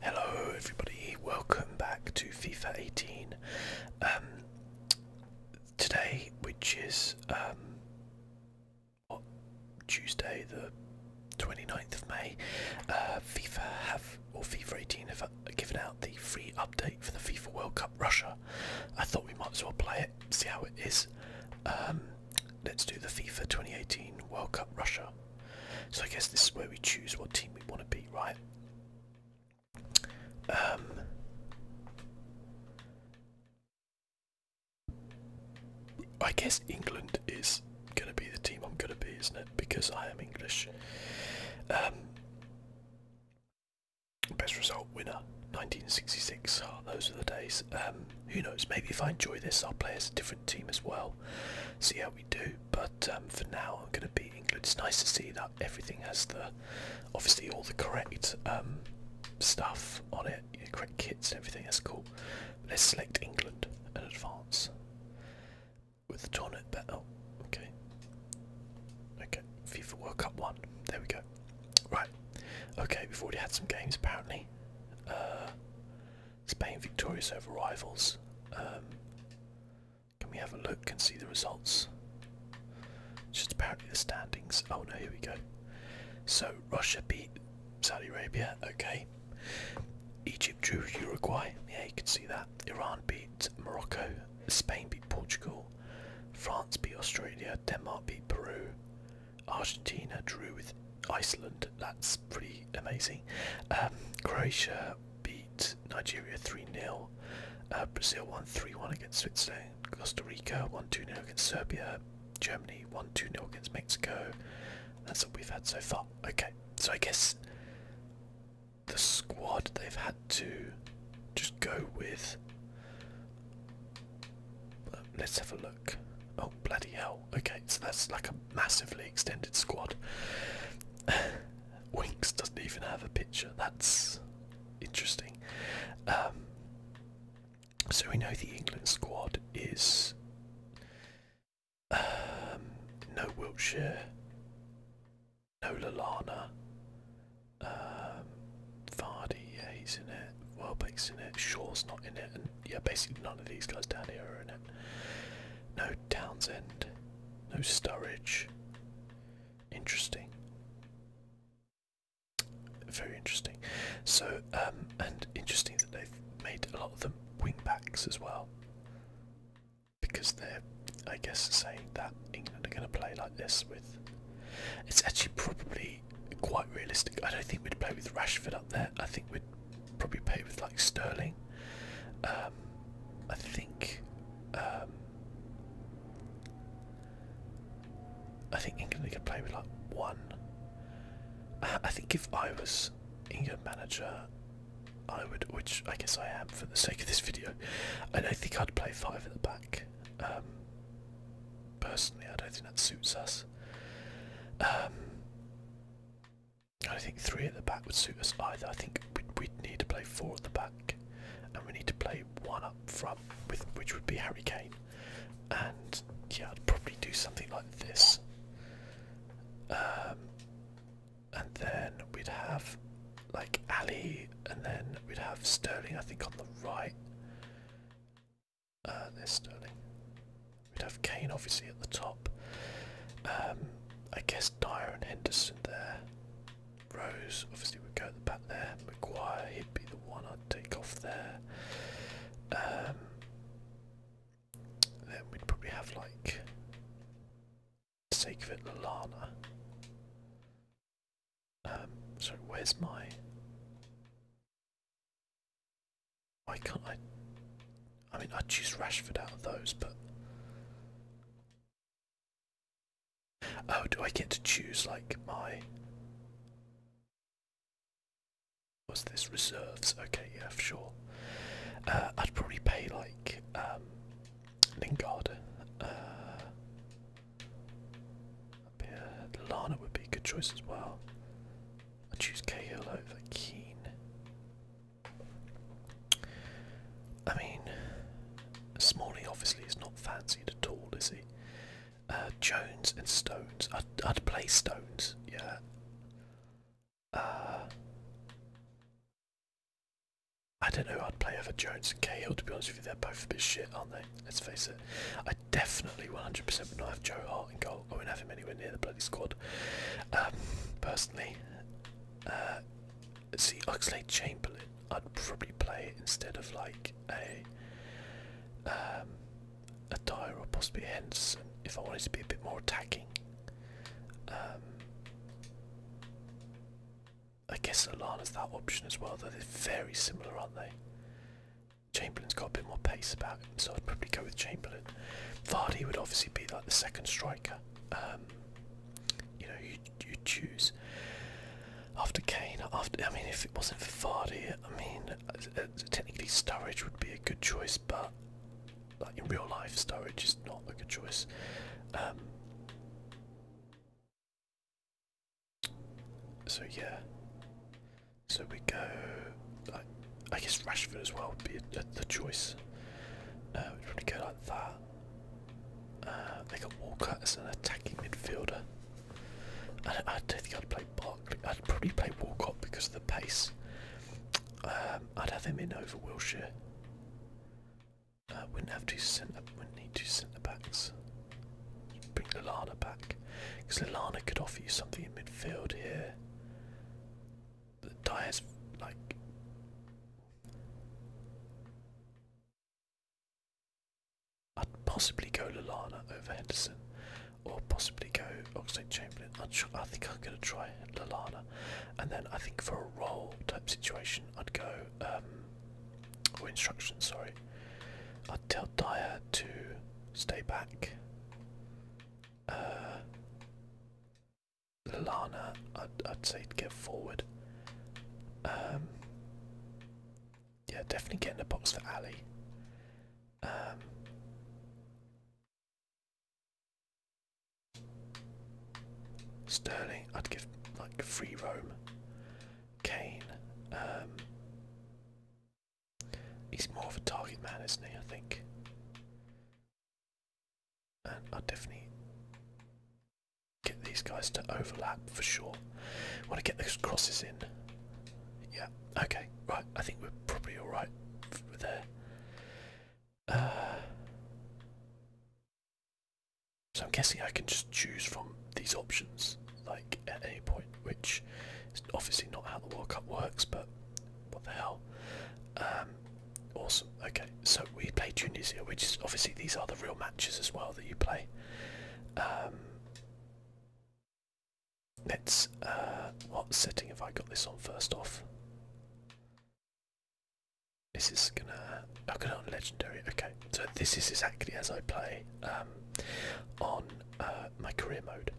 Hello everybody, welcome back to FIFA 18. Um, today, which is um, Tuesday the 29th of May, uh, FIFA have, or FIFA 18 have uh, given out the free update for the FIFA World Cup Russia. I thought we might as well play it, see how it is. Um, let's do the FIFA 2018 World Cup Russia. So I guess this is where we choose what team we want to be, right? Um, I guess England is going to be the team I'm going to be, isn't it? Because I am English. Um, best result winner, 1966. those are the days. Um, who knows? Maybe if I enjoy this, I'll play as a different team as well. See how we do but um, for now I'm going to be England. It's nice to see that everything has the, obviously all the correct um, stuff on it, correct kits and everything, that's cool. let's select England and advance with the tournament battle. Oh, okay. Okay, FIFA World Cup 1, there we go. Right, okay, we've already had some games apparently. Uh, Spain victorious over rivals. Um, can we have a look and see the results? It's just apparently the standings. Oh no, here we go. So Russia beat Saudi Arabia, okay. Egypt drew Uruguay, yeah, you can see that. Iran beat Morocco, Spain beat Portugal, France beat Australia, Denmark beat Peru, Argentina drew with Iceland. That's pretty amazing. Um, Croatia beat Nigeria 3 0. Uh, Brazil 1 3 1 against Switzerland. Costa Rica 1 2 0 against Serbia. Germany 1 2 0 against Mexico. That's what we've had so far. Okay, so I guess the squad they've had to just go with. Um, let's have a look. Oh, bloody hell okay, so that's like a massively extended squad. Winks doesn't even have a picture, that's interesting. Um, so we know the England squad is um, no Wiltshire, no Lalana, um, Vardy, yeah he's in it, Welbeck's in it, Shaw's not in it, and yeah basically none of these guys down here are in it. No Townsend. No Sturridge. Interesting. Very interesting. So, um, and interesting that they've made a lot of them wing backs as well. Because they're, I guess, saying that England are going to play like this with. It's actually probably quite realistic. I don't think we'd play with Rashford up there. I think we'd probably pay with like sterling. Um, I think. Um, I think England could play with like one. I think if I was England manager, I would, which I guess I am for the sake of this video, I don't think I'd play five at the back. Um, personally, I don't think that suits us. I don't think three at the back would suit us either. I think we'd, need to play four at the back, and we need to play one up front, with which would be Harry Kane. And yeah, I'd probably do something like this. Um, and then we'd have like Ali, and then we'd have Sterling. I think on the right. Uh, there's Sterling. We'd have Kane obviously at the top. Um, I guess Dyer and Henderson there. Rose obviously would go at the back there. McGuire he'd be the one I'd take off there. Um, then we'd probably have like, for Lalana. Um, sorry, where's my... Why can't I? I mean, I'd choose Rashford out of those, but. Oh, do I get to choose, like, my. was this? Reserves. Okay, yeah, for sure. Uh, I'd probably pay, like, um, Lingard. Uh, Lana would be a good choice as well. I'd choose Cahill over Keane. I mean, Smalling obviously is not fancied at all, is he? Uh, Jones and Stones. I'd, I'd play Stones, yeah. Uh, I don't know. I'd play either Jones and Cahill. To be honest with you, they're both a bit shit, aren't they? Let's face it. I definitely 100% would not have Joe Hart in goal. I wouldn't have him anywhere near the bloody squad. Um, personally, uh, see, Oxley Chamberlain, I'd probably play it instead of like a um, a Dyer or possibly Henderson if I wanted to be a bit more attacking. Um, I guess Alana's that option as well, though they're very similar, aren't they? Chamberlain's got a bit more pace about him, so I'd probably go with Chamberlain. Vardy would obviously be like the second striker. Um, you know, you you choose after Kane. After I mean, if it wasn't for Vardy, I mean, uh, uh, technically Sturridge would be a good choice, but like in real life, Sturridge is not a good choice. Um, so yeah, so we go I guess Rashford as well would be the choice. Uh, we'd probably go like that. Uh, they got Walcott as an attacking midfielder. I, don't think I'd play Barkley. I'd probably play Walcott because of the pace. Um, I'd have him in over Wilshire. We uh, wouldn't have two centre. need two centre backs. bring Lallana back because Lallana could offer you something in midfield here the tires like I'd possibly go Lalana over Henderson or possibly go Oxlade Chamberlain. I'm sure, I think I'm gonna try Lalana and then I think for a role type situation I'd go um, or oh, instructions. sorry I'd tell Dyer to stay back. Uh, Lana, I'd, say get forward. Um, yeah, definitely get in the box for Ali. Um, Sterling, I'd give like free roam. Kane, um, he's more of a target man, isn't he? I think i definitely get these guys to overlap for sure. Want to get those crosses in. Yeah, okay, right. I think we're probably alright there. Uh, so I'm guessing I can just choose from these options, like at any point, which is obviously not how the World Cup works, but what the hell. Um, Awesome. Okay, so we play Tunisia, which is obviously these are the real matches as well that you play. Um, let's. Uh, what setting have I got this on first off? This is gonna. I oh, got on legendary. Okay, so this is exactly as I play um, on uh, my career mode.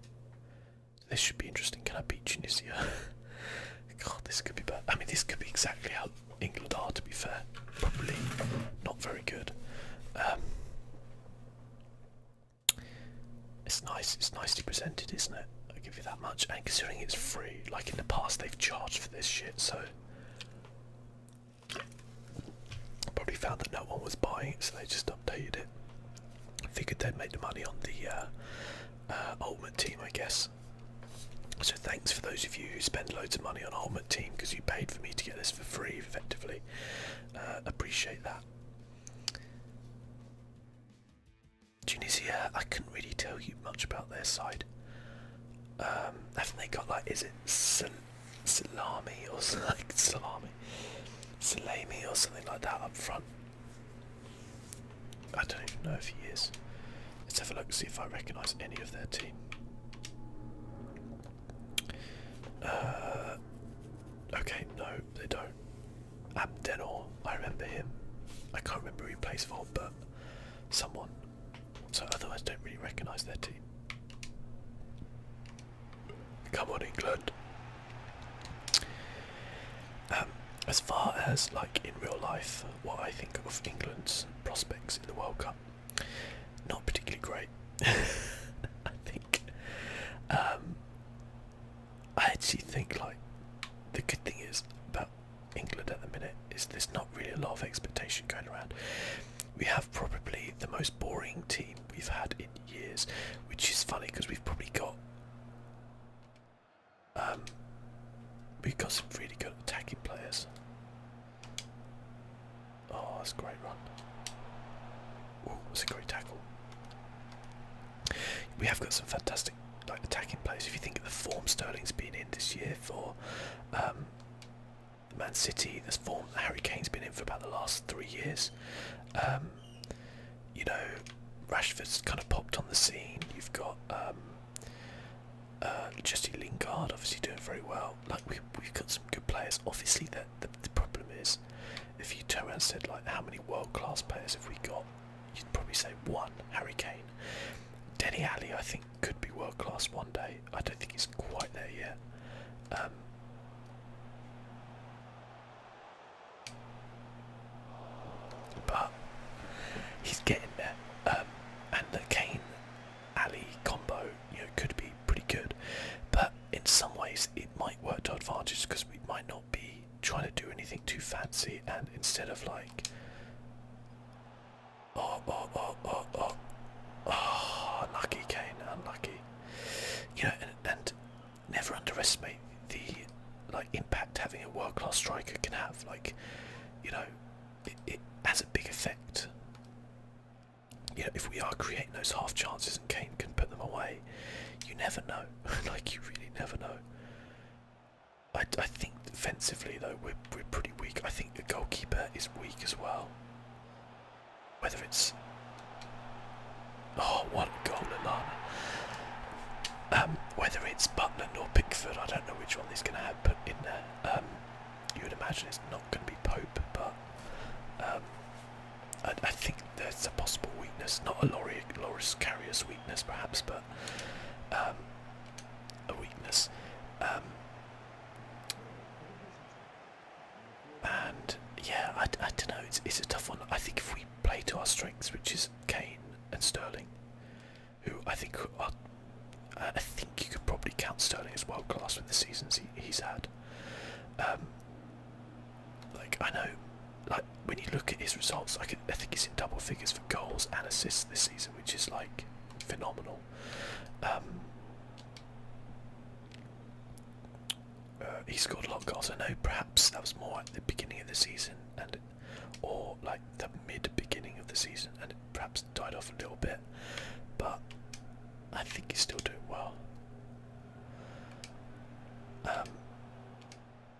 This should be interesting. Can I beat Tunisia? God, this could be bad. I mean, this could be exactly how England are, to be fair. Probably not very good. Um, it's nice. It's nicely presented, isn't it? I'll give you that much. And considering it's free, like in the past, they've charged for this shit, so probably found that no one was buying so they just updated it. Figured they'd make the money on the uh, uh, Ultimate Team, I guess. So thanks for those of you who spend loads of money on Ultimate Team because you paid for me to get this for free, effectively. Uh, appreciate that. Tunisia, I couldn't really tell you much about their side. Um, haven't they got like, is it salami or like salami, salami or something like that up front? I don't even know if he is. Let's have a look, see if I recognise any of their team. Uh, okay, no, they don't. Abdenor, I remember him. I can't remember who he plays for, but someone. So otherwise, don't really recognise their team. Come on, England. Um, as far as like in real life, what I think of England's prospects in the World Cup, not particularly great. I think. Um, I actually think like the good thing is about England at the minute is there's not really a lot of expectation going around. We have probably the most boring team we've had in years, which is funny because we've probably got um, we've got some really good attacking players. Oh, that's a great run. Oh, that's a great tackle. We have got some fantastic like attacking players. If you think of the form Sterling's been in this year for um, Man City, this form Harry Kane's been in for about the last three years. Um, you know, Rashford's kind of popped on the scene. You've got um, uh, Jesse Lingard obviously doing very well. Like we, we've got some good players. Obviously, the, the problem is if you turn and said like how many world class players have we got, you'd probably say one. Harry Kane, Danny Alley, I think could be world class one day. I don't think he's quite there yet. Um, but he's getting there. Um, and the Kane Ali combo, could be pretty good. But in some ways it might work to our advantage because we might not be trying to do anything too fancy and instead of like Oh oh oh oh oh unlucky ah, Kane, unlucky. You know and, and never underestimate the like impact having a world class striker can have. Like, you know, it, has a big effect. You know, if we are creating those half chances and Kane can put them away, you never know. like, you really never know. I, I think defensively though we're we're pretty weak. I think the goalkeeper is weak as well. Whether it's oh goal Alana. Um, whether it's Butland or Pickford, I don't know which one is going to have put in there. Um, you would imagine it's not going to be Pope, but um, I, think there's a possible weakness, not a Loris Carrier's weakness perhaps, but a weakness. and yeah, I, I don't know, it's, it's a tough one. I think if we play to our strengths, which is Kane and Sterling, who I think uh, I think you could probably count Sterling as world class with the seasons he's had. Um, like I know, like when you look at his results, I, could, I think he's in double figures for goals and assists this season, which is like phenomenal. Um, uh, he scored a lot of goals. I know perhaps that was more at the beginning of the season, and or like the mid beginning of the season, and it perhaps died off a little bit. But I think he's still doing well. Um,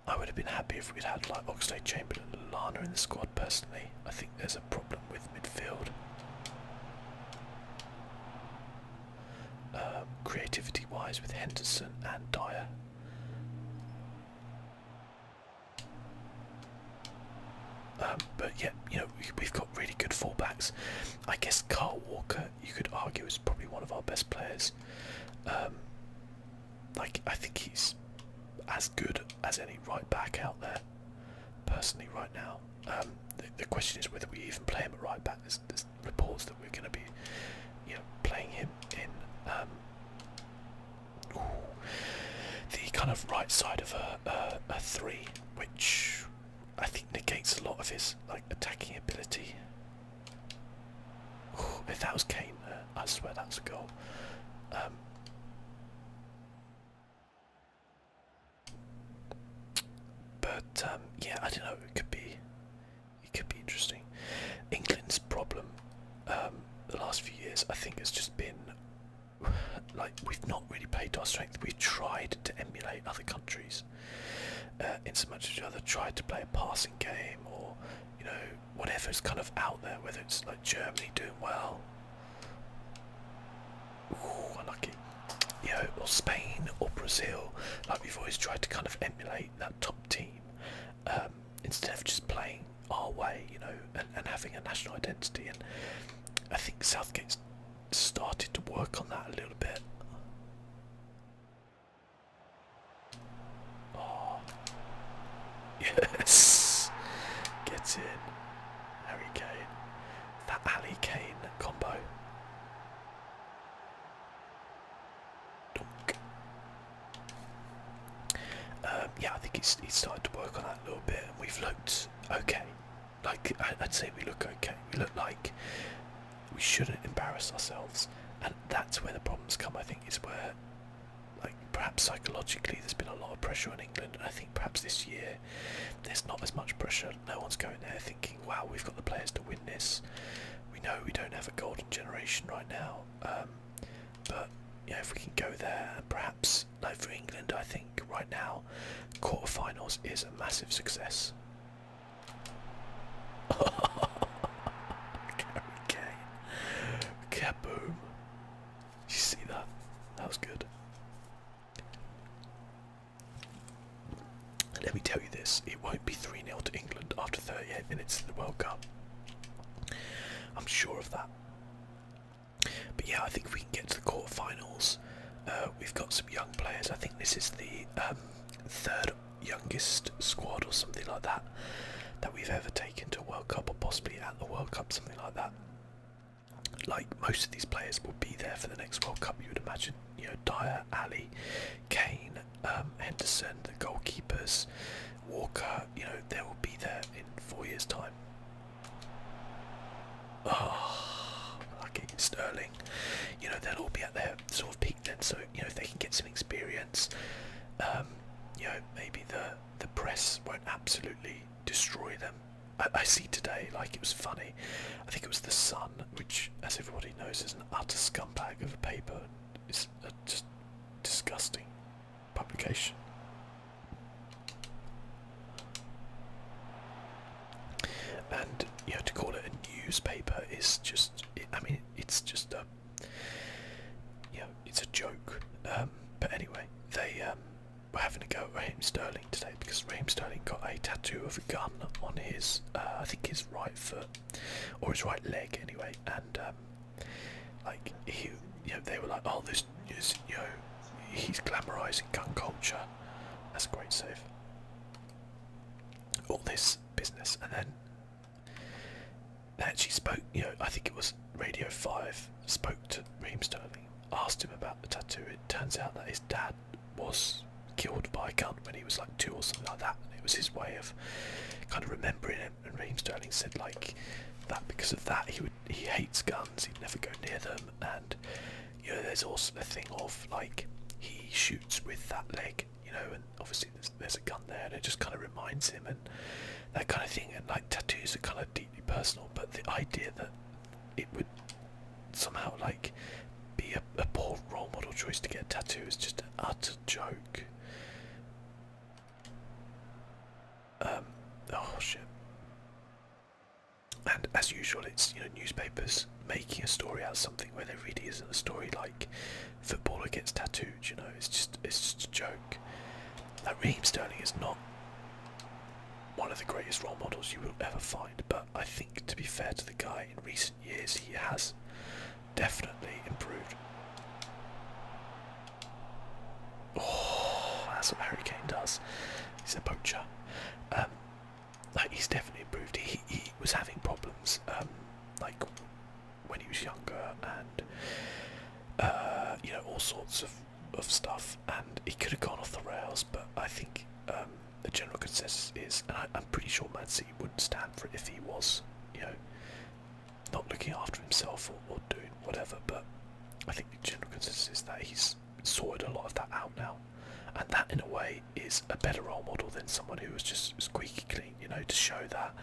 I would have been happy if we'd had like Oxley Chamberlain and Lana in the squad. Personally, I think there's a problem with midfield. Um, Creativity wise, with Henderson and Dyer, um, but yeah, you know we've got really good fullbacks. I guess Carl Walker, you could argue, is probably one of our best players. Um, like I think he's as good as any right back out there, personally, right now. Um, the, question is whether we even play him at right back. There's, reports that we're going to be, you know, playing him in the kind of right side of a, a, three, which I think negates a lot of his like attacking ability. if that was Kane, uh, I swear that's a goal. Um, but um, yeah, I don't know. It could be, it could be interesting. England's problem um, the last few years, I think, has just been like we've not really played to our strength. We've tried to emulate other countries, uh, in so much as other tried to play a passing game or you know whatever whatever's kind of out there. Whether it's like Germany doing well, unlucky, you or Spain or Brazil, like we've always tried to kind of emulate that top team. Um, instead of just playing our way, you know, and, and having a national identity. And I think Southgate's started to work on that a little bit. Oh, yes, get in. Harry Kane, that Ali Kane combo. Um, yeah, I think it's, it's started to work on that a little bit, and we've looked okay. Like, I'd say we look okay. We look like we shouldn't embarrass ourselves, and that's where the problems come. I think it's where, like, perhaps psychologically, there's been a lot of pressure on England, I think perhaps this year there's not as much pressure. No one's going there thinking, "Wow, we've got the players to win this." We know we don't have a golden generation right now. Um, but you if we can go there, perhaps like for England, I think right now, quarterfinals is a massive success. okay, okay, boom. you see that? That was good. let me tell you this, it won't be 3 0 to England after 38 minutes of the World Cup. I'm sure of that. But yeah, I think we can get to the quarterfinals. Uh, we've got some young players. I think this is the um, third youngest squad or something like that that we've ever taken to a World Cup or possibly at the World Cup, something like that. Like most of these players will be there for the next World Cup, you would imagine. You know, Dyer, Ali, Kane, um, Henderson, the goalkeepers, Walker, you know, they will be there in four years' time. Oh, lucky Sterling. You know, they'll all be at their sort of peak then, so, you know, if they can get some experience, um, you know, maybe the, the press won't absolutely destroy them. I, see today, like, it was funny. I think it was The Sun, which, as everybody knows, is an utter scum bag of a paper. It's uh, just disgusting publication. And you have to call it a newspaper is just, I mean, it's just a, you know, it's a joke. Um, but anyway, they um, were having a go at Raheem Sterling today because Raheem Sterling got a tattoo of a gun on his, uh, I think his right foot, or his right leg anyway, and um, like he, you know, they were like, "Oh, this is you know, he's glamorising gun culture." That's a great save. All this business, and then they actually spoke. You know, I think it was Radio Five spoke to Reem Sterling, asked him about the tattoo. It turns out that his dad was killed by a gun when he was like two or something like that. And it was his way of kind of remembering him. And Raheem Sterling said like that because of that he would he hates guns. He'd never go near them. And you know, there's also the thing of like he shoots with that leg. You know, and obviously there's, there's a gun there, and it just kind of reminds him and that kind of thing. And like tattoos are kind of deeply personal, but the idea that it would somehow like be a, poor role model choice to get a tattoo is just an utter joke. Um, oh shit. And as usual, it's you know newspapers making a story out of something where there really isn't a story. Like footballer gets tattooed, you know, it's just it's just a joke. Like Raheem Sterling is not one of the greatest role models you will ever find, but I think to be fair to the guy, in recent years he has definitely improved. Oh, that's what Harry Kane does. He's a poacher. Um, he's definitely improved. He was having problems um, like when he was younger and uh, you know all sorts of of stuff, and he could have gone off the rails. But I think um, the general consensus is, and I, am pretty sure Man wouldn't stand for it if he was, you know, not looking after himself or, doing whatever, but I think the general consensus is that he's sorted a lot of that out now. And that, in a way, is a better role model than someone who was just squeaky clean, you know, to show that,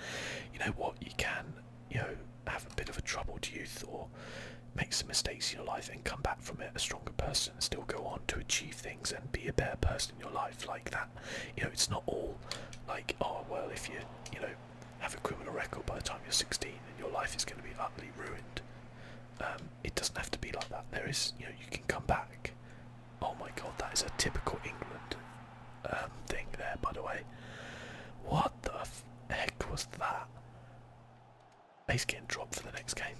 you know what, you can, you know, have a bit of a troubled youth or make some mistakes in your life and come back from it a stronger person still go on to achieve things and be a better person in your life like that. You know, it's not all like, oh, well, if you, you know, have a criminal record by the time you're 16 and your life is going to be utterly ruined. Um, it doesn't have to be like that. There is, you know, you can come back. Oh my god, that is a typical England um, thing there, by the way. What the heck was that? He's getting drop for the next game.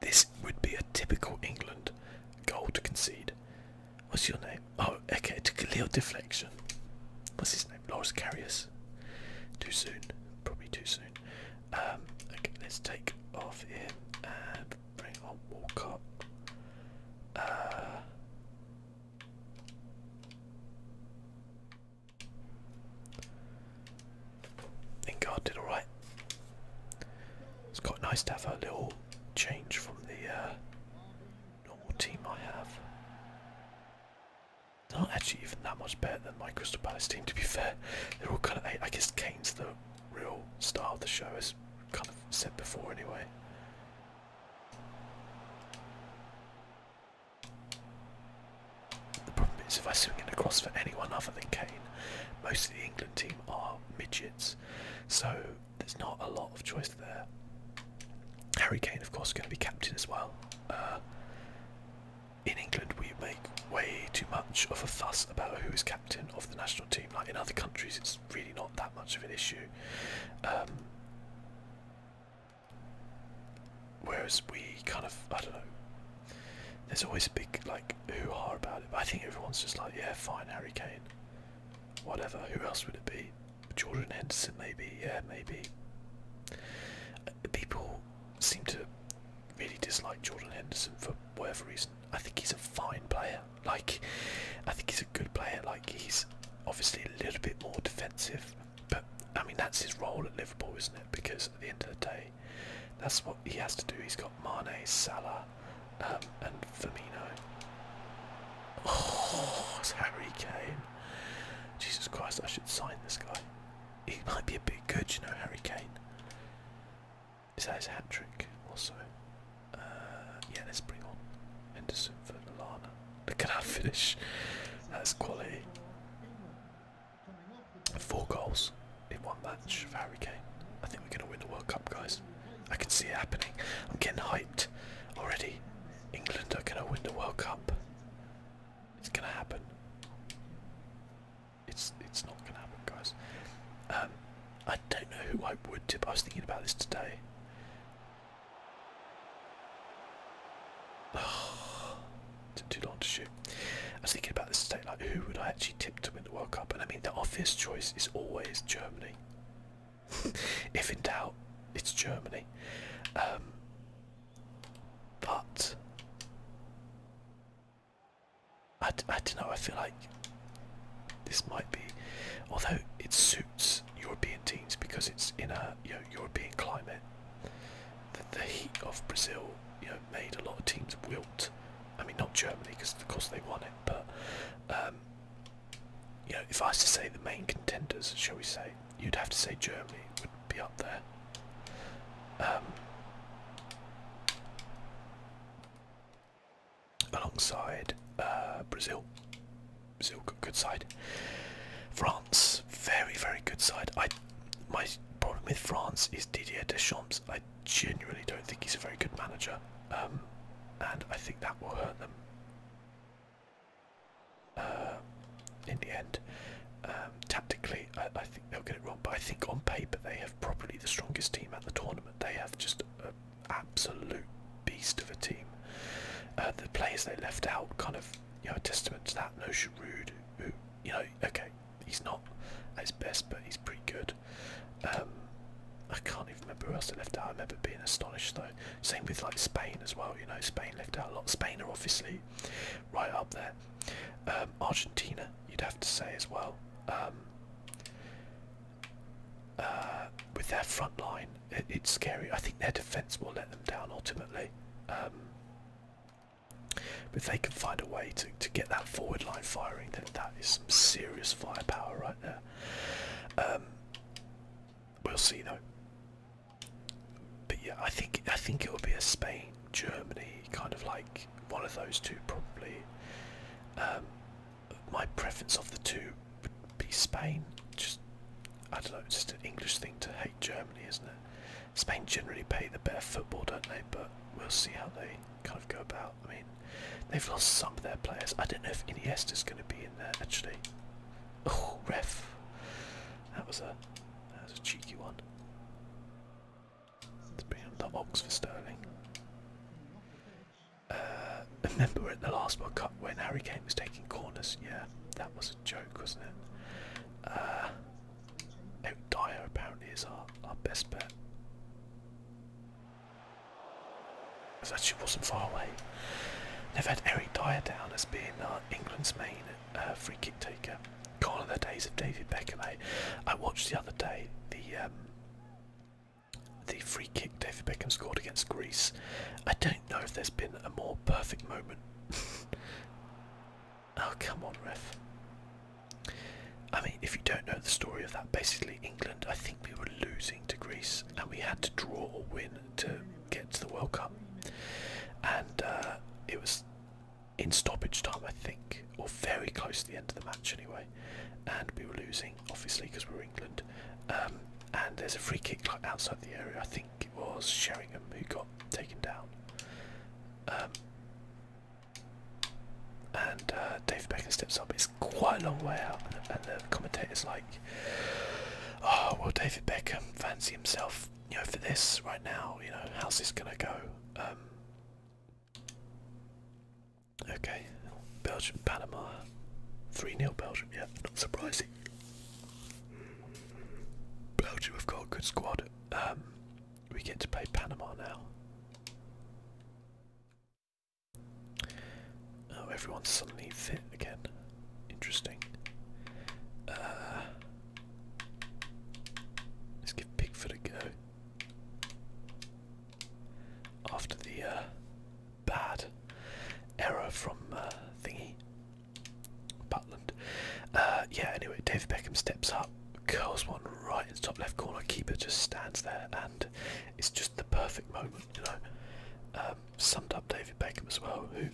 This would be a typical England goal to concede. What's your name? Oh, okay, to Leo Deflection. What's his name? Loris Carius. Too soon. Probably too soon. Um, okay, let's take off him and bring on Walcott. Uh, Ingard did alright. It's quite nice to have a little change from the uh, not team I have. not actually even that much better than my Crystal Palace team, to be fair. They're all kind of. I guess Kane's the real star of the show, as kind of said before, anyway. The problem is, if I swing it across for anyone other than Kane, most of the England team are midgets. So there's not a lot of choice there. Harry Kane, of course, going to be captain as well. Uh, in England, we make way too much of a fuss about who is captain of the national team. Like in other countries, it's really not that much of an issue. Um, whereas we kind of, I don't know. There's always a big like hoo-ha about it, I think everyone's just like, yeah, fine, Harry Kane. Whatever, who else would it be? Jordan Henderson, maybe, yeah, maybe. Uh, people seem to really dislike Jordan Henderson for whatever reason. I think he's a fine player. Like, I think he's a good player. Like, he's obviously a little bit more defensive, but I mean, that's his role at Liverpool, isn't it? Because at the end of the day, that's what he has to do. He's got Mane, Salah, Salah, uh, um, and Firmino. Oh, it's Harry Kane. Jesus Christ, I should sign this guy. He might be a bit good, you know, Harry Kane. Is that his hat trick also? Uh, yeah, let's bring on Henderson for Milana. Look at that finish. That's quality. Four goals in one match for Harry Kane. I think we're going to win the World Cup, guys. I can see it happening. I'm getting hyped already. England are gonna win the World Cup. It's gonna happen. It's it's not gonna happen, guys. Um, I don't know who I would tip. I was thinking about this today. too long to shoot. I was thinking about this today. Like, who would I actually tip to win the World Cup? And I mean, the obvious choice is always Germany if in doubt, it's Germany. Um, but I, I don't know. I feel like this might be, although it suits European teams because it's in a you know, European climate. The, heat of Brazil, you know, made a lot of teams wilt. I mean, not Germany because of course they won it, but um, you know, if I was to say the main contenders, shall we say, you'd have to say Germany would be up there. Um, alongside uh, Brazil. Brazil, good side. France, very, very good side. I, my problem with France is Didier Deschamps. I genuinely don't think he's a very good manager, um, and I think that will hurt them. Uh, in the end. Um, tactically, I, think they'll get it wrong, but I think on paper they have probably the strongest team at the tournament. They have just an absolute beast of a team. Uh, the players they left out kind of, you know, a testament to that. No Giroud, who, you know, okay, he's not at his best, but he's pretty good. Um, I can't even remember who else they left out. I remember being astonished though. Same with like Spain as well. You know, Spain left out a lot. Spain are obviously right up there. Um, Argentina, you'd have to say as well. Um, uh, with their front line, it's scary. I think their defence will let them down ultimately. but if they can find a way to, to get that forward line firing, then that is some serious firepower right there we'll see though. But yeah, I think I think it will be a Spain, Germany, kind of like one of those two probably. Um, my preference of the two would be Spain. Just I don't just an English thing to hate Germany, isn't it? Spain generally play the better football, don't they? But we'll see how they kind of go about. I mean, they've lost some of their players. I don't know if Iniesta's going to be in there actually. Oh, ref! That was a that was a cheeky one. Let's bring up the Ox for Sterling. Uh, remember at the last World Cup when Harry Kane was taking corners? Yeah, that was a joke, wasn't it? Uh, Dyer apparently is our, our best bet that shoot wasn't far away. They've had Eric Dyer down as being uh, England's main uh, free kick taker. Gone are the days of David Beckham. Eh? I watched the other day the um, the free kick David Beckham scored against Greece. I don't know if there's been a more perfect moment. oh come on, ref. I mean, if you don't know the story of that, basically England, I think we were losing to Greece, and we had to draw or win to get to the World Cup. And uh, it was in stoppage time, I think, or very close to the end of the match anyway. And we were losing, obviously, because we are England. Um, and there's a free kick like outside the area. I think it was Sheringham who got taken down. Um, and uh, Dave Beckham steps up quite a long way out. And, the commentator's like, oh, well, David Beckham fancy himself, you know, for this right now. You know, how's this gonna go? Um, okay, Belgium, Panama, three nil, Belgium. Yeah, not surprising. Belgium have got a good squad. Um, we get to play Panama now. Oh, everyone's suddenly fit again. Interesting. Uh, let's give Pickford a go. After the uh, bad error from uh, Thingy, Butland. Uh, yeah, anyway, David Beckham steps up, curls one right in the top left corner, keeper just stands there, and it's just the perfect moment you know, um, summed up David Beckham as well, who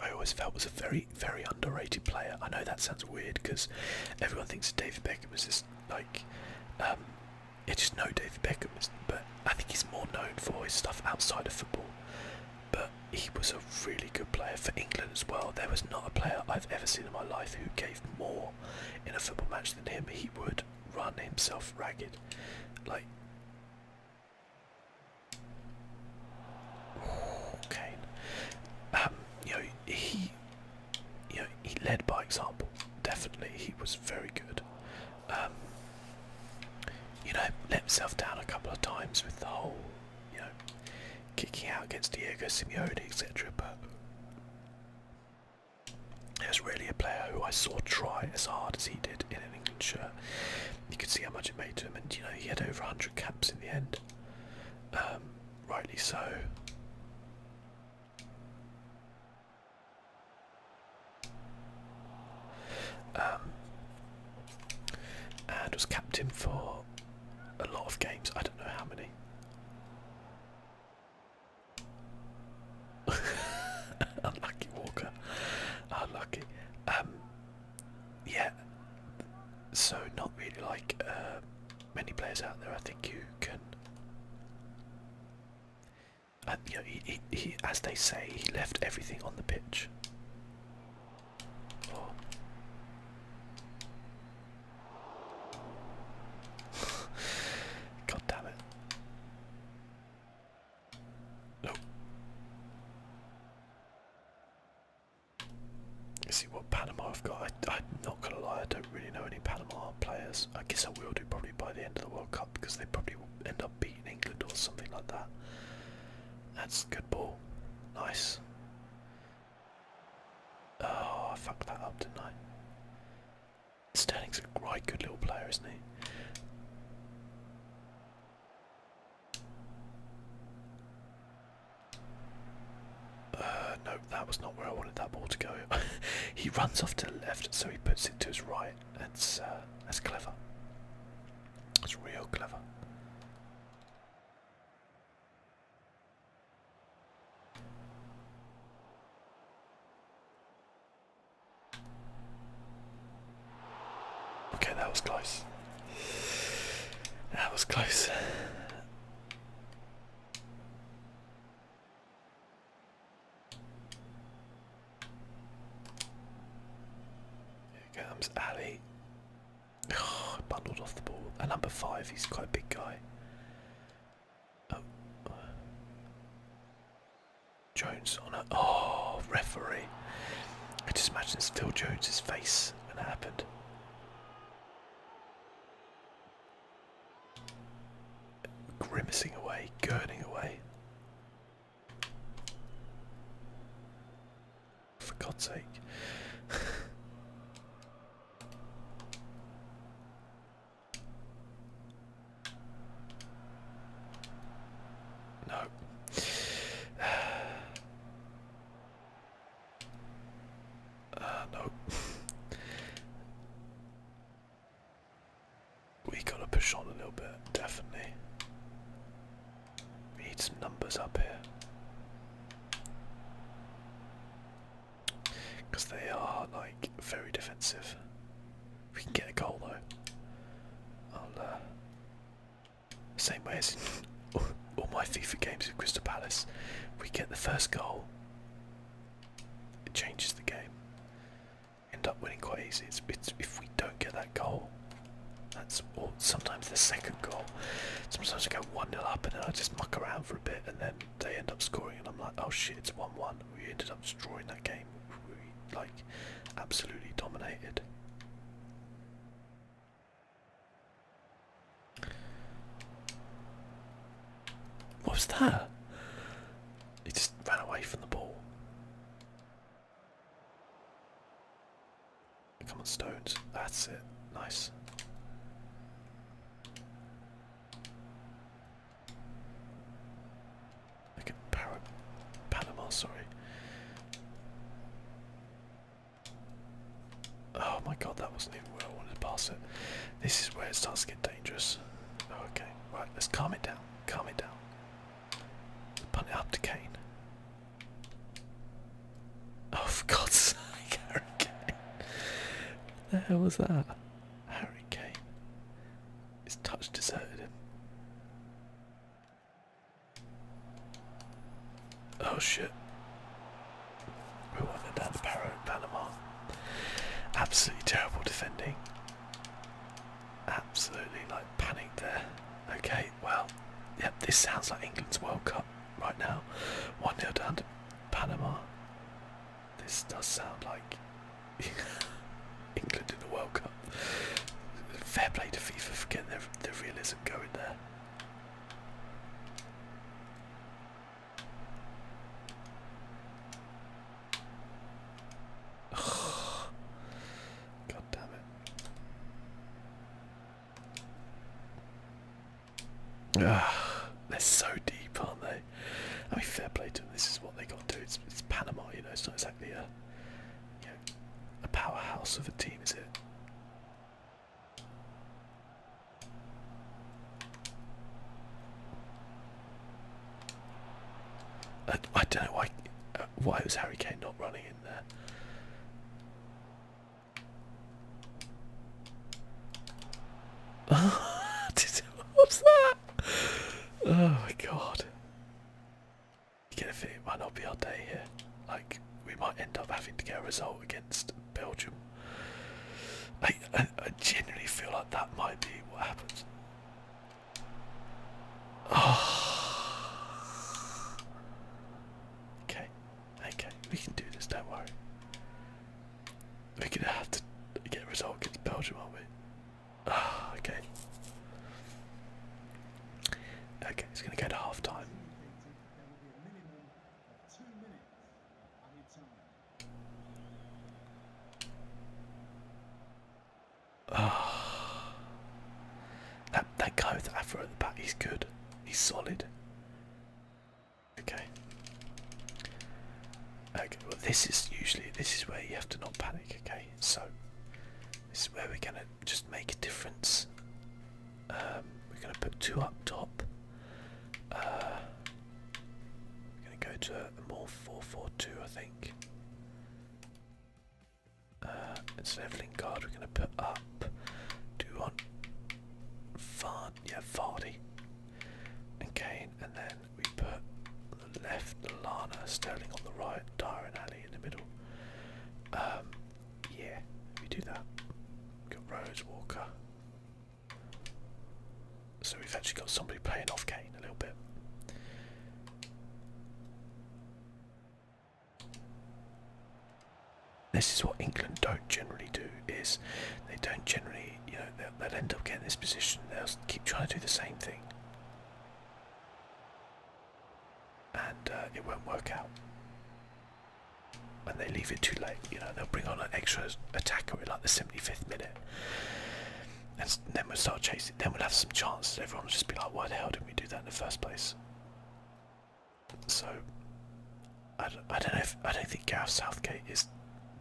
I always felt was a very, very underrated player. I know that sounds weird because everyone thinks David Beckham was just like, um, just know David Beckham, but I think he's more known for his stuff outside of football. But he was a really good player for England as well. There was not a player I've ever seen in my life who gave more in a football match than him, he would run himself ragged. Like, oh, you know, he, you know, he led by example. Definitely, he was very good. Um, you know, let himself down a couple of times with the whole, you know, kicking out against Diego Simeone, etc. But there's really a player who I saw try as hard as he did in an England shirt. You could see how much it made to him, and you know he had over 100 caps in the end. Um, rightly so. Um, and was captain for a lot of games. I don't know how many. Unlucky Walker. Unlucky. Um, yeah. So not really like uh, many players out there. I think you can. Uh, you he, he, as they say, he left everything on the pitch. God damn it. Nope. You see what Panama I've got. I, am not gonna lie, I don't really know any Panama players. I guess I will do probably by the end of the World Cup because they probably will end up beating England or something like that. That's a good ball. Nice. Oh, I fucked that up, did Sterling's a great, good little player, isn't he? Uh, no, that was not where I wanted that ball to go. he runs off to the left, so he puts it to his right. That's uh, that's clever. That's real clever. Okay, that was close. That was close. Here comes Ali. Oh, off the ball. At number five, he's quite a big guy. Jones on a oh referee. I just imagine it's Phil Jones's face when it happened. Grimacing away, gurning away. For God's sake. No. Uh, no. we gotta push on a little bit, definitely. We need some numbers up here. Because they are like very defensive. We can get a goal though. Uh, same way as all, my FIFA games with Crystal Palace, we get the first goal. It changes the game. End up winning quite easy. It's, if we don't get that goal. That's or sometimes the second goal. Sometimes I go one nil up and then I just muck around for a bit and then they end up scoring, and I'm like, oh shit, it's 1 1. We ended up destroying that game. We, like, absolutely dominated. What was that? He just ran away from the ball. Come on, Stones. That's it. Nice. Look at parrot, Panama, sorry. Oh my god, that wasn't even where I wanted to pass it. This is where it starts to get dangerous. okay, right, let's calm it down. Calm it down. Punt it up to Kane. Oh, for God's sake, Kane. the hell was that? Harry Kane is touch deserted him. Oh shit. We wanted down the Panama. Absolutely terrible defending. Absolutely like panicked there. Okay, well, yep, this sounds like England's World Cup right now. 1 0 down to Panama. This does sound like England in the World Cup. Fair play to FIFA for getting their, realism going there. God damn it. Ah, they're so deep, aren't they? I mean, fair play to them. This is what they got to do. It's, Panama, you know. It's not exactly a, a powerhouse of a team, is it? I, don't know why. Uh, why was Harry Kane not running in there? What's that? Oh my god. You get a feeling might not be our day here. Like, we might end up having to get a result against Belgium. I, I, genuinely feel like that might be what happens. Okay, okay, we can do this, don't worry. We're gonna have to get a against Belgium, aren't we? Ah, okay. Okay, it's gonna go to half time. Ah, that that guy with the afro at the back, he's good. He's solid. Okay. Okay, well this is usually this is where you have to not panic, okay? So this is where we're gonna just make a difference. Um, we're gonna put two up top. Uh, we're gonna go to a more four four two I think. Uh, it's leveling guard we're gonna put up. two you want Vard yeah, Vardy. Okay, and then we put the left Lana, Sterling on the right, Dyer and Alley in the middle. Um, yeah, we do that. got Rose, Walker. So we've actually got somebody playing off Kane a little bit. This is what England don't generally do is they don't generally they, you know, they'll, end up getting this position. They'll keep trying to do the same thing, and uh, it won't work out. And they leave it too late. You know, they'll bring on an extra attacker in like the 75th minute, and then we'll start chasing. Then we'll have some chances. Everyone will just be like, "Why the hell didn't we do that in the first place?" So, I I don't know. If, I don't think Gareth Southgate is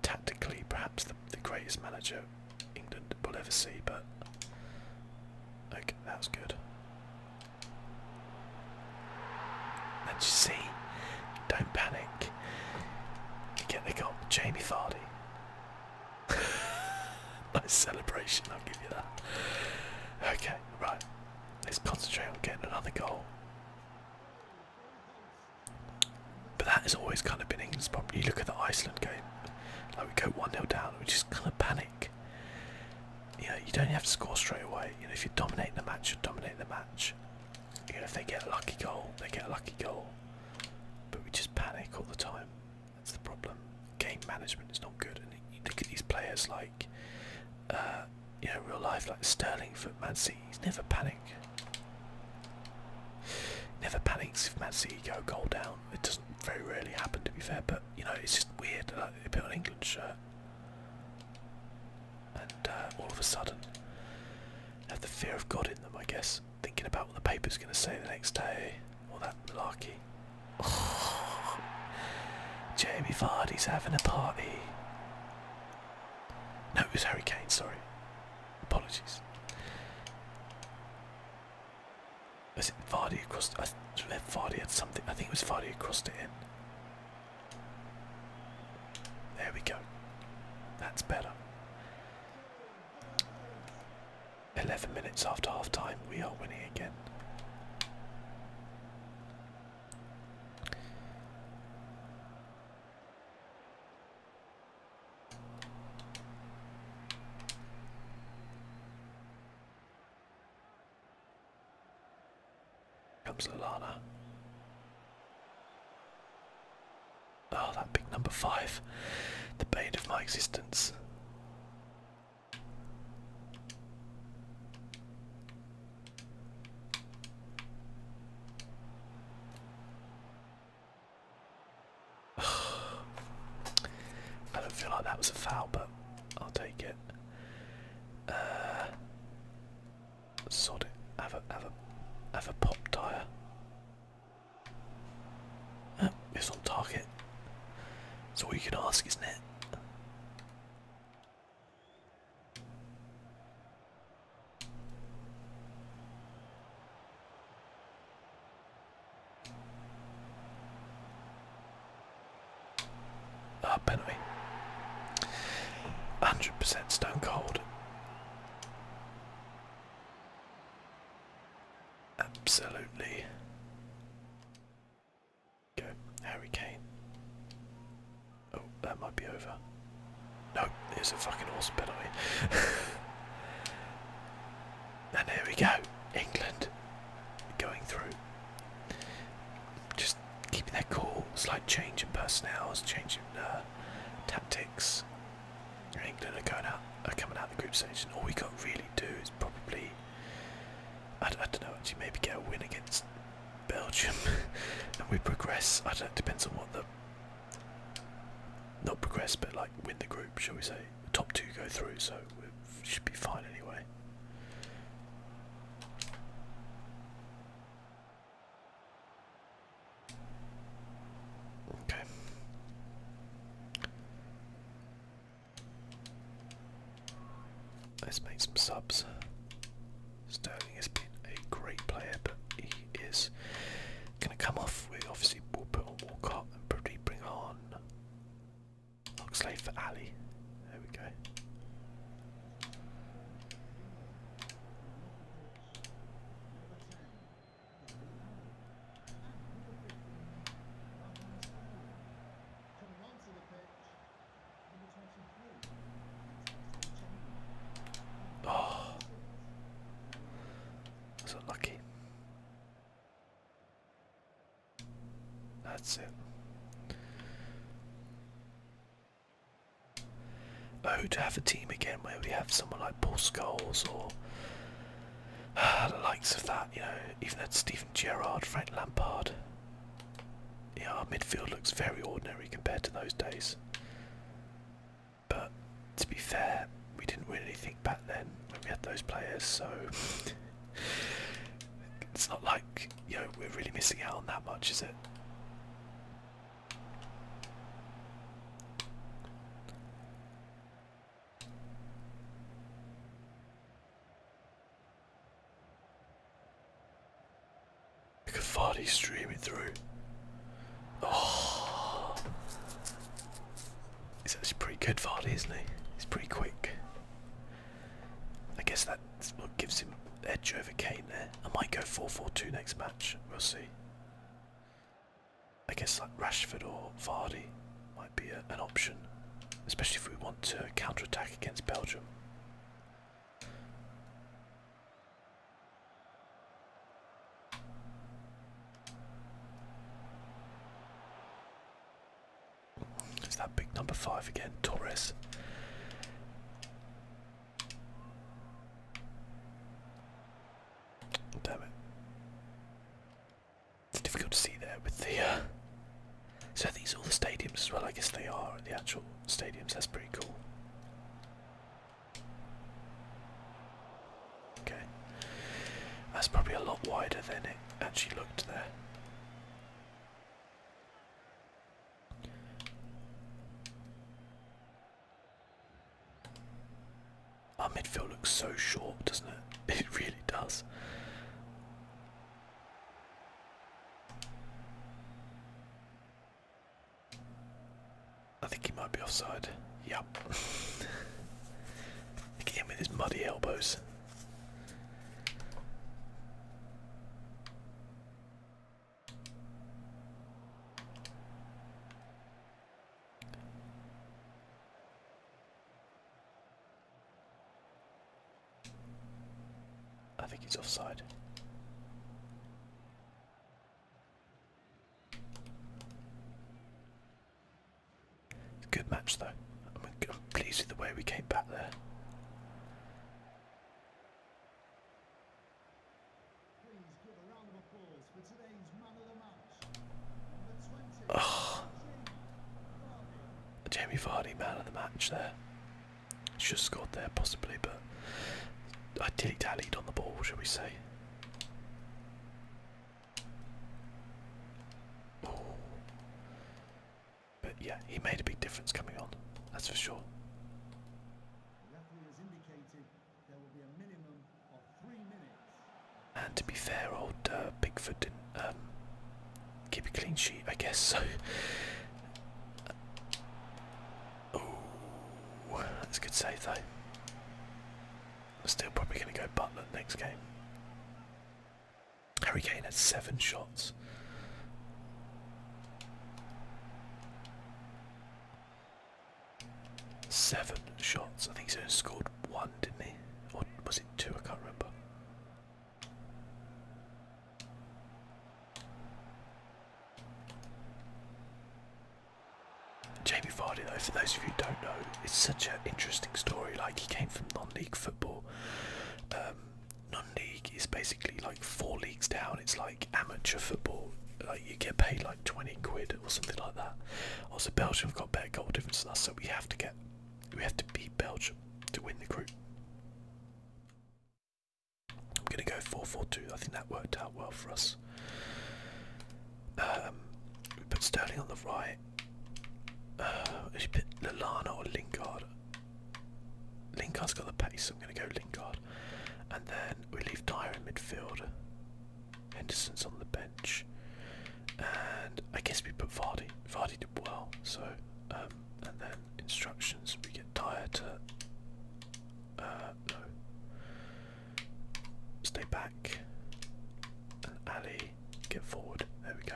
tactically perhaps the, the greatest manager England will ever see, but okay, that was good. And you see, don't panic. You get the goal, Jamie Vardy. nice celebration, I'll give you that. Okay, right. Let's concentrate on getting another goal. But that has always kind of been England's problem. You look at the Iceland game, like we go 1 0 down, we just kind of panic. You know, you don't have to score straight away. You know, if you dominate the match, you dominate the match. You know, if they get a lucky goal, they get a lucky goal. But we just panic all the time. That's the problem. Game management is not good. And you look at these players like, uh, you know, real life, like Sterling for He's Never panic. Never panics if Man City goal down. It doesn't very rarely happen, to be fair. But you know, it's just weird. A bit of England shirt, and uh, all of a sudden, have the fear of God in them. I guess thinking about what the paper's going to say the next day, or that malarkey. Jamie Vardy's having a party. No, it was Harry Kane. Sorry, Apologies. Was it Vardy across? I read Vardy had something. I think it was Vardy crossed it in. There we go. That's better. 11 minutes after half time, we are winning again. Comes Lolana. Oh, that big number five. The bane of my existence. I don't feel like that was a foul, but I'll take it. Uh, sod it. Have pop tire. Uh, it's on target. That's all you can ask, isn't it? Ah, penalty. 100% stone cold. Absolutely. Go, Harry Oh, that might be over. No, there's a fucking awesome penalty. and here we go. England going through. Just keeping that cool. Slight change in personnel, slight change in uh, tactics. England are going out, are coming out of the group stage, and all we can really do is probably, I, I don't know, actually maybe get a win against Belgium, and we progress. I don't. Know, depends on what the not progress, but like win the group, shall we say? top two go through, so we should be fine anyway. Okay. Let's make some subs. Sterling he has been a great player, but he is going to come off. We obviously will put on Walcott and probably bring on Oxley for Ali. There we go. Oh, that's unlucky. That's it. Oh, to have a team again where we have someone like Paul Scholes or the likes of that, you know, even that Stephen Gerrard, Frank Lampard. Yeah, our midfield looks very ordinary compared to those days. But to be fair, we didn't win anything back then when we had those players, so it's not like you know we're really missing out on that much, is it? Cavati Vardy streaming through. Oh, he's actually pretty good, Vardy, isn't he? He's pretty quick. I guess that's what gives him edge over Kane there. I might go 4-4-2 next match. We'll see. I guess like Rashford or Vardy might be an option, especially if we want to counter attack against Belgium. It's that big number five again, Torres. Oh, damn it. difficult to see there with the. Uh, so, are these all the stadiums as well? I guess they are the actual stadiums. That's pretty cool. Okay. That's probably a lot wider than it actually looked there. Our midfield looks so short, doesn't it? It really does. I think he might be offside. Yup. Look at him with his muddy elbows. I think he's offside. Good match though. I'm pleased with the way we came back there. Oh, Jamie Vardy, man of the match there. Should have scored there possibly, but I dilly dallied on the ball, shall we say. But yeah, he made a big difference coming on, that's for sure. And to be fair, old uh, Bigfoot didn't um, keep a clean sheet, I guess. So Oh, that's a good save though. I'm still probably going to go Butler next game. Harry Kane had seven shots. Seven shots. I think he's only scored one, didn't he? Or was it two? I can't remember. Jamie Vardy, though, for those of you who don't know, it's such an interesting story. Like he came from non-league football. Um, non-league is basically like four leagues down. It's like amateur football. Like you get paid like twenty quid or something like that. Also, Belgium have got better goal difference than us, so we have to get, we have to beat Belgium to win the group. I'm gonna go 4-4-2. I think that worked out well for us. Um, we put Sterling on the right. we uh, should put Lallana or Lingard. Lingard's got the pace, so I'm gonna go Lingard. And then we leave Dyer in midfield. Henderson's on the bench. And I guess we put Vardy. Vardy did well, so um, and then instructions we get Dyer to uh, no Stay back. And Ali, get forward. There we go.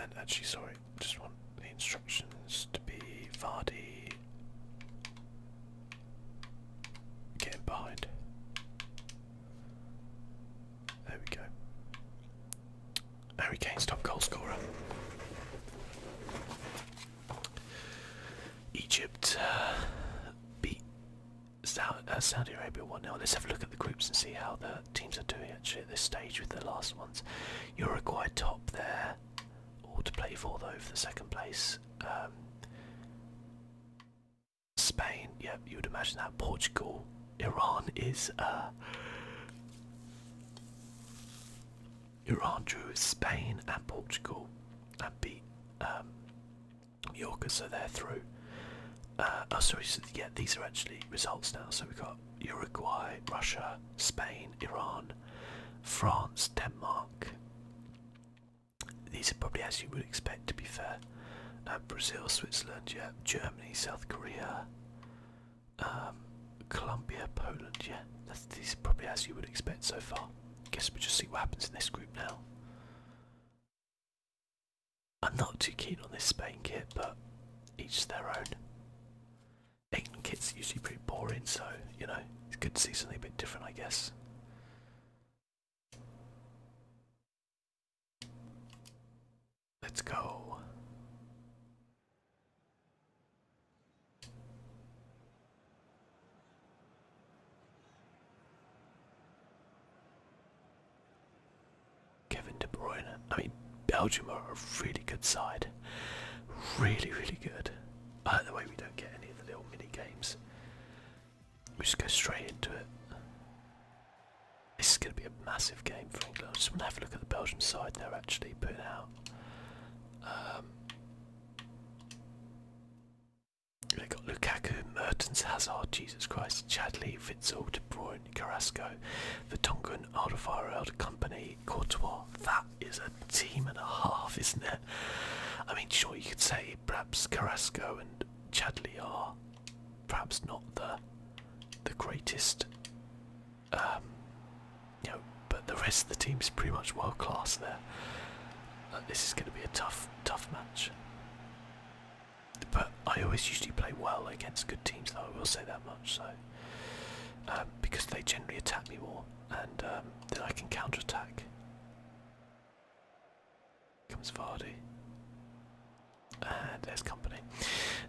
And actually, sorry, just want the instructions to be Vardy getting behind. There we go. Harry Kane's top goalscorer. Egypt uh, beat uh, Saudi Arabia 1 0. Let's have a look at the groups and see how the teams are doing actually at this stage with the last ones. Uruguay top there, all to play for though for the second place. Um, Spain, yeah, you would imagine that. Portugal, Iran is. Uh, Iran drew Spain and Portugal and beat um, Mallorca, so they're through. Uh, oh, sorry, so yeah, these are actually results now. So we've got Uruguay, Russia, Spain, Iran, France, Denmark. These are probably as you would expect, to be fair. Uh, Brazil, Switzerland, yeah, Germany, South Korea, um, Colombia, Poland. Yeah, that's probably as you would expect so far. Guess we'll just see what happens in this group now. I'm not too keen on this Spain kit, but each their own. England kit's usually pretty boring, so you know it's good to see something a bit different, I guess. Let's go. Kevin De Bruyne. I mean, Belgium are a really good side. Really, really good. I the way we don't get any of the little mini games. We just go straight into it. This is going to be a massive game for England. I just want to have a look at the Belgian side they're actually putting out. Um, they got Lukaku, Mertens, Hazard, Jesus Christ, Chadley, Fitzel, De Bruyne, Carrasco, Vertonghen, Alderweireld, Company, Courtois. That is a team and a half, isn't it? I mean, sure, you could say perhaps Carrasco and Chadley are perhaps not the the greatest um, but the rest of the team is pretty much world class there. this is going to be a tough, tough match. But I always usually play well against good teams, though I will say that much. So, um, because they generally attack me more, and um, then I can counter-attack. Comes Vardy, and there's company.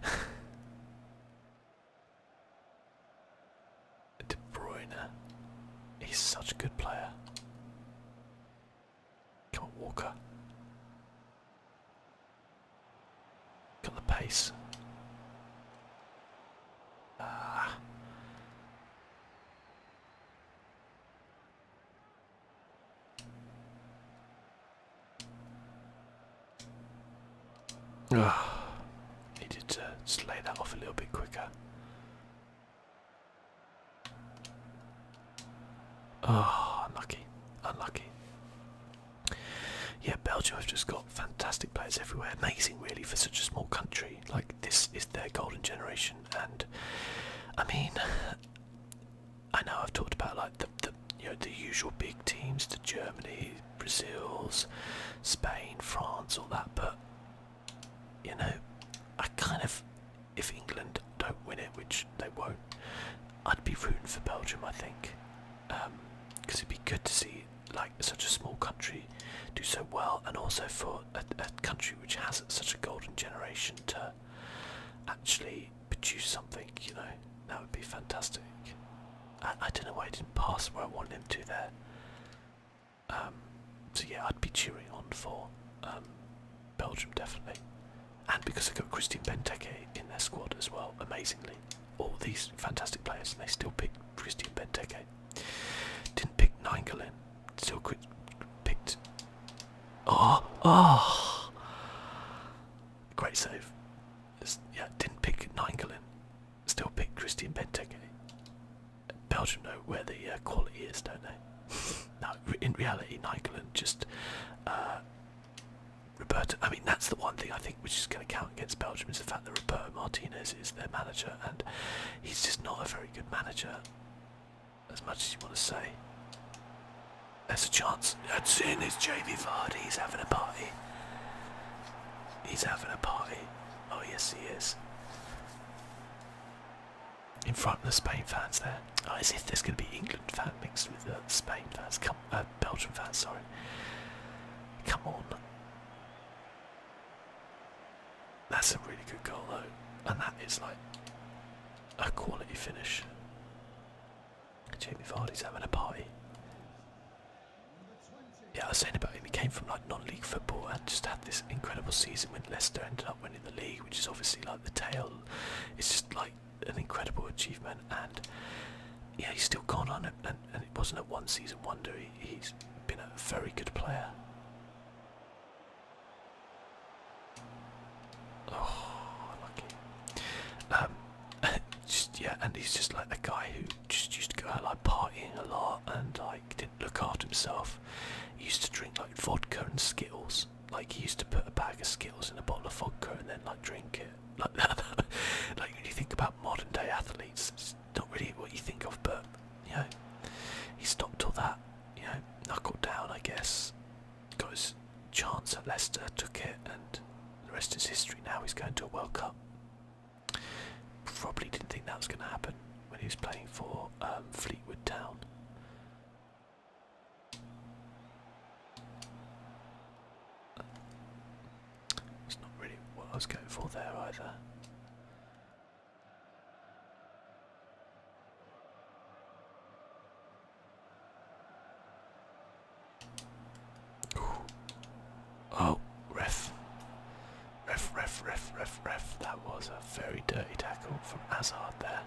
De Bruyne. He's such a good player. Come Walker. Got the pace. Ah. Ah, needed to slay that off a little bit quicker. Ah, oh, unlucky, unlucky. Yeah, Belgium have just got fantastic players everywhere. Amazing, really, for such a small country. Like this is their golden generation, and I mean, I know I've talked about like the the you know the usual big teams, the Germany, Brazil's, Spain, France, all that, but you know, I kind of, if England don't win it, which they won't, I'd be rooting for Belgium, I think, because um, it'd be good to see like such a small country do so well, and also for a country which has such a golden generation to actually produce something, you know, that would be fantastic. I, don't know why I didn't pass where I wanted him to there. Um, so yeah, I'd be cheering on for um, Belgium definitely, and because they've got Christian Benteke in their squad as well, amazingly, all these fantastic players, and they still picked Christian Benteke. Didn't pick So quick, picked. Oh, oh! Great save. yeah, didn't pick Nainggolan still pick Christian Benteke. Belgium know where the uh, quality is, don't they? Now, in reality, Nigeland just uh, Roberto. I mean, that's the one thing I think which is going to count against Belgium is the fact that Roberto Martinez is their manager, and he's just not a very good manager. As much as you want to say, there's a chance. That's in. It's Jamie Vardy. He's having a party. He's having a party. Oh, yes, he is. In front of the Spain fans there. Oh, as if there's going to be England fans mixed with the Spain fans. Come, uh, Belgium fans, sorry. Come on. That's a really good goal, though. And that is like a quality finish. Jamie Vardy's having a party. Yeah, I was saying about him, he came from like non-league football and just had this incredible season when Leicester ended up winning the league, which is obviously like the tail. It's just like an incredible achievement, and yeah, he's still gone on, it, and, and it wasn't a one-season wonder. He, has been a very good player. Oh, lucky. Um, just yeah, and he's just like the guy who just used to go out like partying a lot and like didn't look after himself. used to drink like vodka and Skittles. Like he used to put a bag of Skittles in a bottle of vodka and then like drink it. Like that. like when you think about modern day athletes, it's not really what you think of, but you know, he stopped all that. You know, knuckled down, I guess. Got his chance at Leicester, took it, and the rest is history. Now he's going to a World Cup. Probably didn't think that was going to happen when he was playing for um, Fleetwood Town. It's not really what I was going for there either. Oh, ref. Ref, ref, ref, ref, ref. That was a very dirty tackle from Hazard there.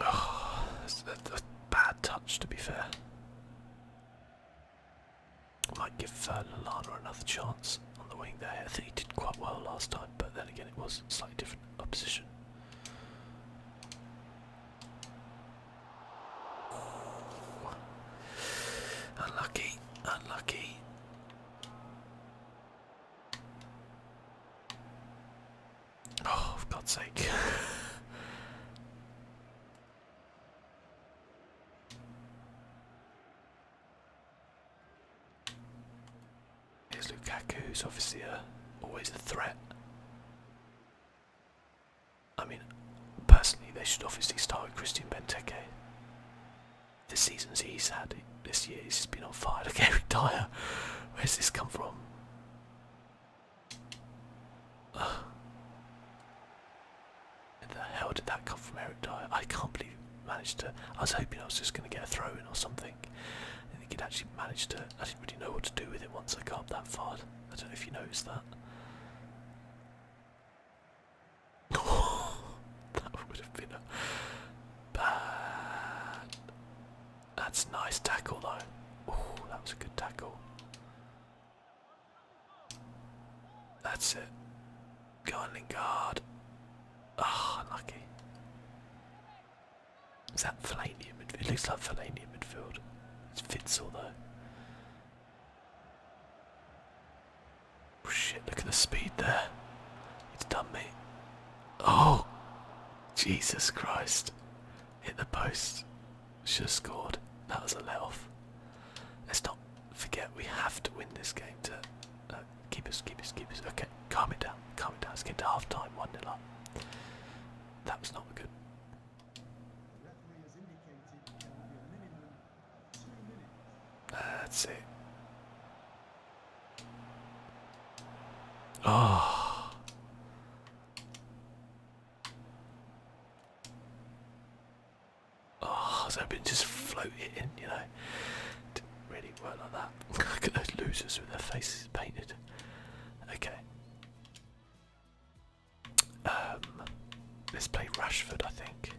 Oh, that's, a bad touch, to be fair. Might give uh, Lalana another chance on the wing there. I think he did quite well last time, but then again, it was slightly different opposition. Unlucky, unlucky. Oh, for God's sake. Here's Lukaku, who's obviously always a threat. I mean, personally, they should obviously start with Christian Benteke. The seasons he's had this year, he's just been on fire. Look, Eric Dyer. Where's this come from? the hell did that come from Eric I can't believe he managed to. I was hoping I was just going to get a throw in or something. I think he'd actually managed to. I didn't really know what to do with it once I got up that far. I don't know if you noticed that. that would have been a bad that's nice tackle though. that was a good tackle. That's it. Go on Lingard. Ah, oh, Is that Fellaini in midfield? It looks like Fellaini in midfield. It's Fitzel though. Oh, shit, look at the speed there. It's done me. Oh, Jesus Christ. Hit the post. Should have scored. That was a let off. Let's not forget we have to win this game to uh, keep it, keep us, keep us. Okay, calm it down, calm it down. Let's get to half time, 1 0 up. That was not good. That's it. Oh. Oh, I was hoping just float it in, you know. Didn't really work like that. Look at those losers with their faces painted. Okay. Um, let's play Rashford, I think.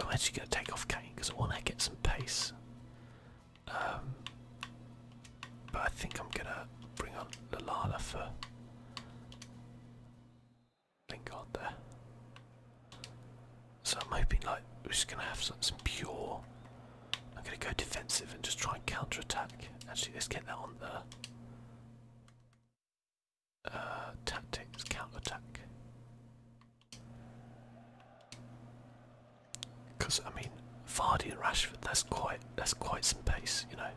I'm actually going to take off Kane because I want to get some pace. Um, but I think I'm gonna bring on Lalala for Lingard there. So I'm hoping like we're just gonna have some, pure. I'm gonna go defensive and just try and counter attack. Actually, let's get that on the uh, tactics counter attack. Because I mean, Vardy and Rashford—that's quite—that's quite some pace, you know.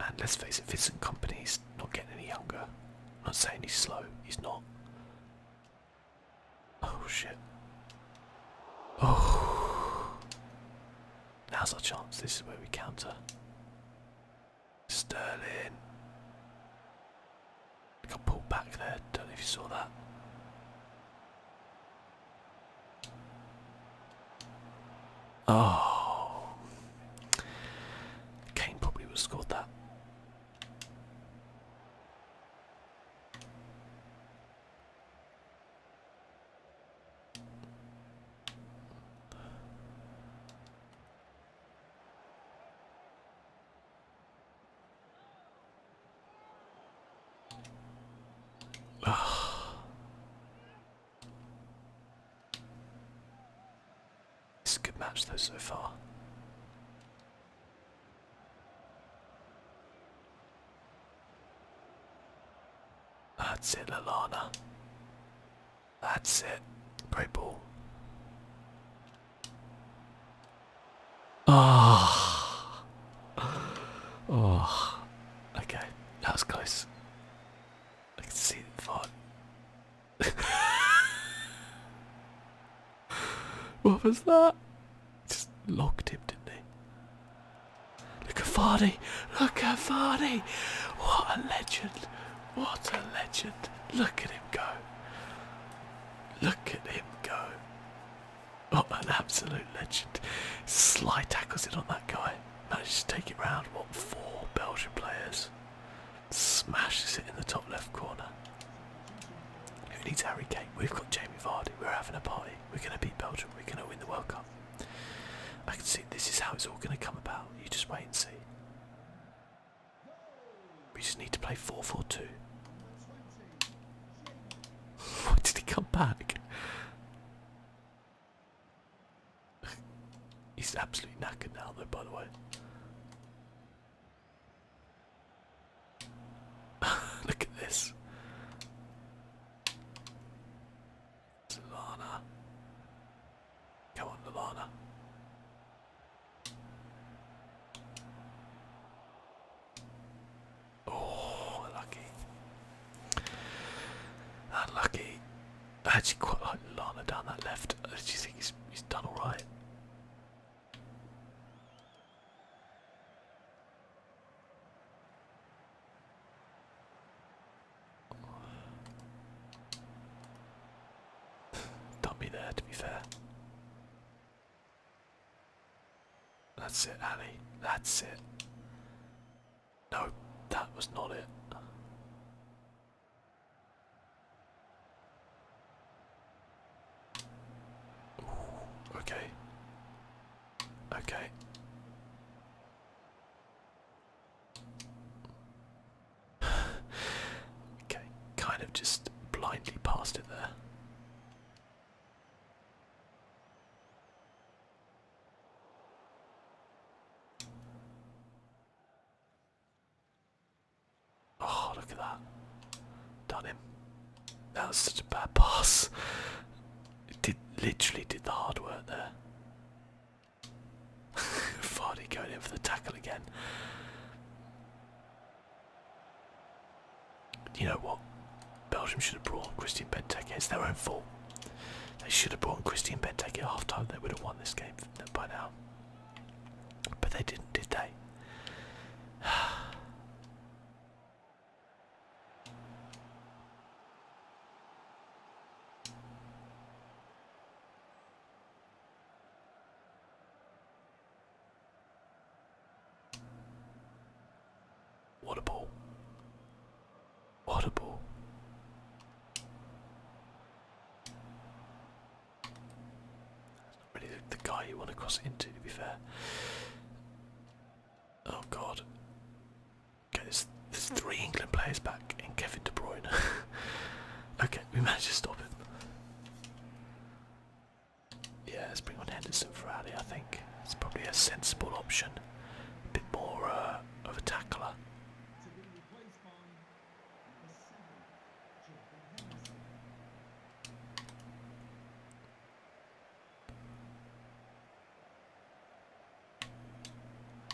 And let's face it, Vincent Company's not getting any younger. not saying he's slow; he's not. Oh shit! Oh, now's our chance. This is where we counter. Sterling. Got pulled back there. Don't know if you saw that. Oh, Kane probably would have scored that. This is a good match though so far. That's it, Lalana. That's it. Great ball. Oh. Oh. Okay. That was close. I can see the thought. what was that? Just locked him, didn't he? Look at Vardy! Look at Vardy! What a legend! What a legend! Look at him go! Look at him go! Oh, an absolute legend. Sly tackles it on that guy. Manages to take it round. What, four Belgian players? Smash it in the top left corner. Who needs Harry Kane? We've got Jamie Vardy. We're having a party. We're going to beat Belgium. We're going to win the World Cup. I can see this is how it's all going to come about. You just wait and see. We just need to play 4 4 2. Why did he come back? He's absolutely knackered now, though, by the way. Look at this. Solana. Come on, Lalana. Oh, unlucky. Unlucky. I actually quite like Lana down that left. Uh, do you think he's, he's done alright? Dummy there, to be fair. That's it, Ali. That's it. No, that was not it. Ooh, okay. Okay. okay, kind of just blindly passed it there. Oh, look at that. Done him. That was such a bad pass. It did literally did the hard work there. Fardy going in for the tackle again you know what? Belgium should have brought Christian Benteke. It's their own fault. They should have brought Christian Benteke at half time. They would have won this game by now. But they didn't, did they? What a ball. What a ball. not really the, guy you want to cross into, to be fair. Oh god. there's, there's three England players back and Kevin De Bruyne. okay, we managed to stop him. Yeah, let's bring on Henderson for Ali, I think. It's probably a sensible option. A bit more uh, of a tackler.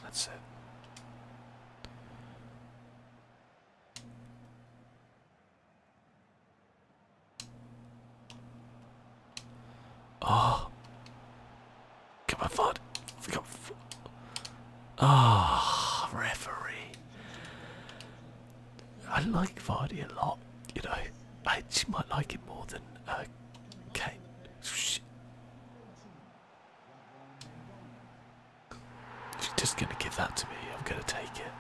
That's it. Oh. Come on, Fod. Come Ah, oh, referee. I like Vardy a lot, you know. I actually might like it more than okay. Uh, She's just gonna give that to me. I'm gonna take it.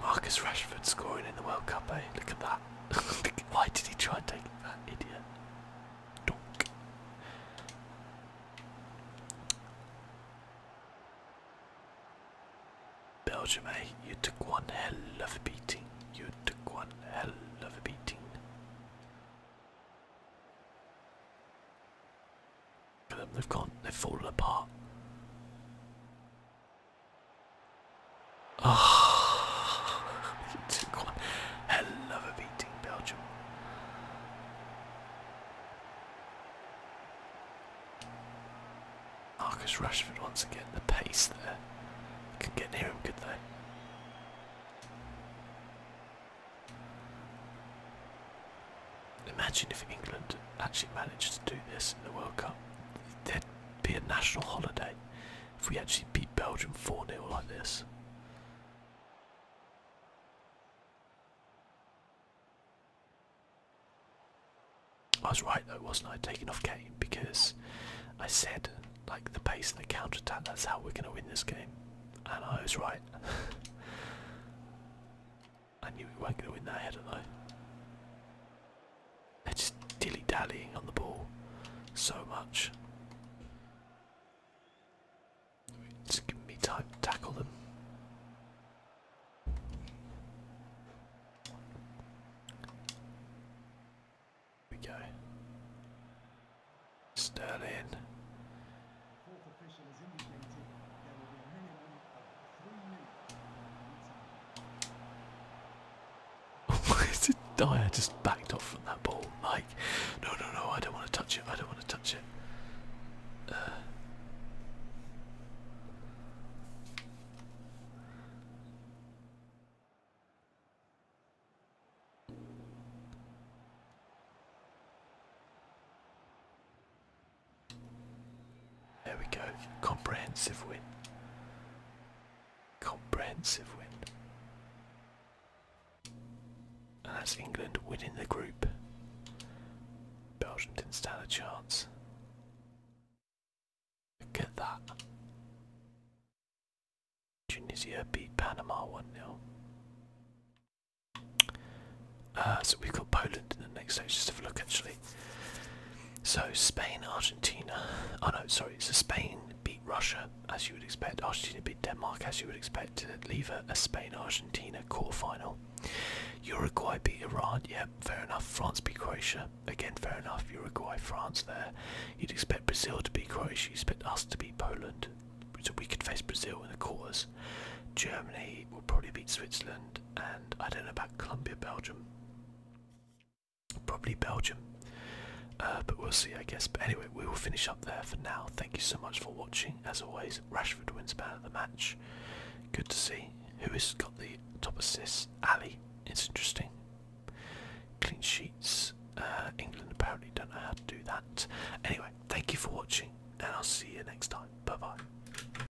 Marcus Rashford scoring in the World Cup, eh? Look at that. Why did he try and take that idiot? Belgium, eh? You took one hell of a beating. You took one hell of a beating. They've gone. They've fallen apart. Oh, hell of a beating, Belgium. Marcus Rashford once again. The pace there. Could get near him, could they? Imagine if England actually managed to do this in the World Cup. There'd be a national holiday if we actually beat Belgium 4 0 like this. I was right though, wasn't I, taking off Kane because I said like the pace and the counter attack, that's how we're gonna win this game. And I was right. I knew we weren't going to win that header though. They're just dilly dallying on the ball so much. Just give me time to tackle them. we go. Sterling. Why is it die? I just backed off from that ball. Like, no, no, no, I don't want to touch it. I don't want to touch it. Uh. There we go. Comprehensive win. Comprehensive win. And that's England winning the group. Belgium didn't stand a chance. Look at that. Tunisia beat Panama 1 0. Uh, so we've got Poland in the next stage. Just have a look actually. So Spain, Argentina. Oh no, sorry. So Spain beat Russia as you would expect. Argentina beat Denmark as you would expect. Leave a, Spain-Argentina quarterfinal. Uruguay beat Iran. Yep, fair enough. France beat Croatia. Again, fair enough. Uruguay, France there. You'd expect Brazil to beat Croatia. You'd expect us to beat Poland. So we could face Brazil in the quarters. Germany will probably beat Switzerland, and I don't know about Columbia, Belgium. Probably Belgium. Uh, but we'll see, I guess. But anyway, we will finish up there for now. Thank you so much for watching. As always, Rashford wins man of the match. Good to see. Who has got the top assist? Ali. It's interesting. Clean sheets. Uh, England apparently don't know how to do that. Anyway, thank you for watching, and I'll see you next time. Bye bye.